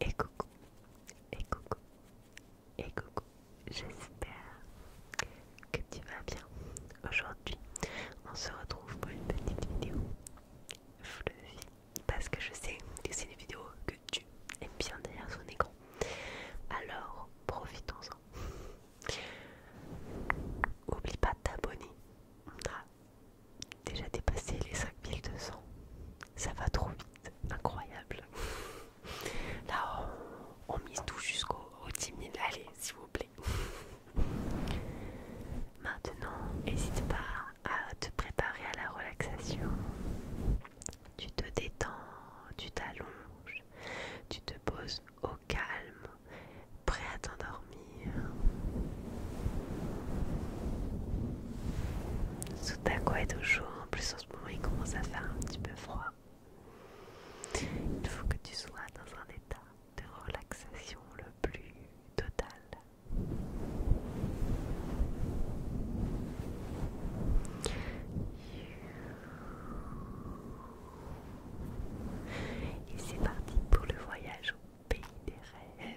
Et coucou, et coucou, et coucou, j'espère que tu vas bien. Aujourd'hui, on se retrouve pour une petite vidéo fluffy parce que je sais que c'est une vidéo que tu aimes bien derrière son écran. Alors, profitons-en. Oublie pas de t'abonner. déjà dépassé les 5200. Ça va trop vite. Incroyable. Là, on, mise tout jusqu'au 10 000. Allez, s'il vous plaît. Maintenant, n'hésite pas à te préparer à la relaxation. Tu te détends, tu t'allonges, tu te poses au calme, prêt à t'endormir. quoi est au chaud, en plus en ce moment il commence à faire un petit peu froid. Il faut que tu sois dans un état de relaxation le plus total. Et c'est parti pour le voyage au pays des rêves.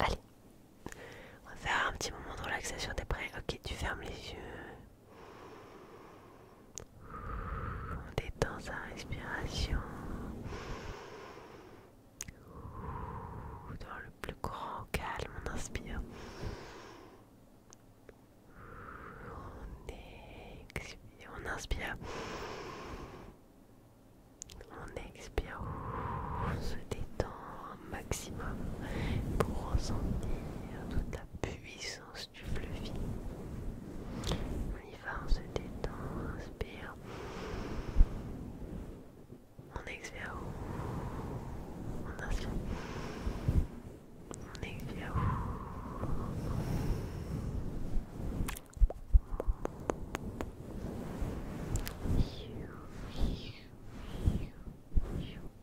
Allez, on va faire un petit moment de relaxation. T'es prêt Ok, tu fermes les yeux. On détend sa respiration dans le plus grand calme. On inspire. On expire. On inspire. On expire. On se détend maximum pour ressentir toute la puissance du fluffy. On y va, on se détend, on inspire. On expire. On inspire. On expire.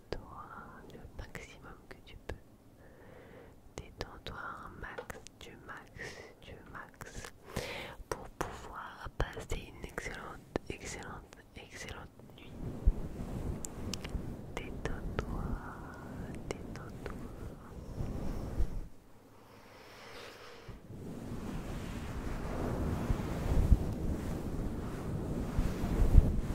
Détends-toi le maximum que tu peux. Détends-toi un max, du max, du max, pour pouvoir passer une excellente, excellente, excellente nuit. Détends-toi, détends-toi. Détends-toi,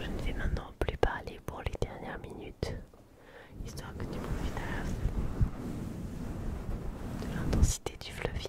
Je ne vais maintenant plus parler pour les dernières minutes, histoire que tu profites de l'intensité du fleuve.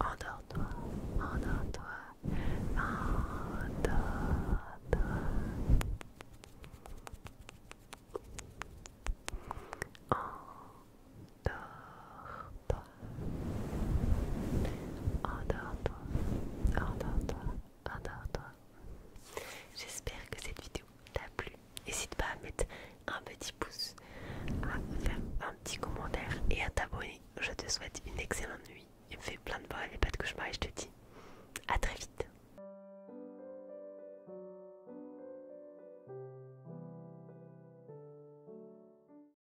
Endors-toi, endors-toi, endors-toi. endors Endors-toi. J'espère que cette vidéo t'a plu. N'hésite pas à mettre un petit pouce, à faire un petit commentaire et à t'abonner. Je te souhaite une excellente nuit. Il me fait plein de bonnes et pas de cauchemars et je te dis à très vite.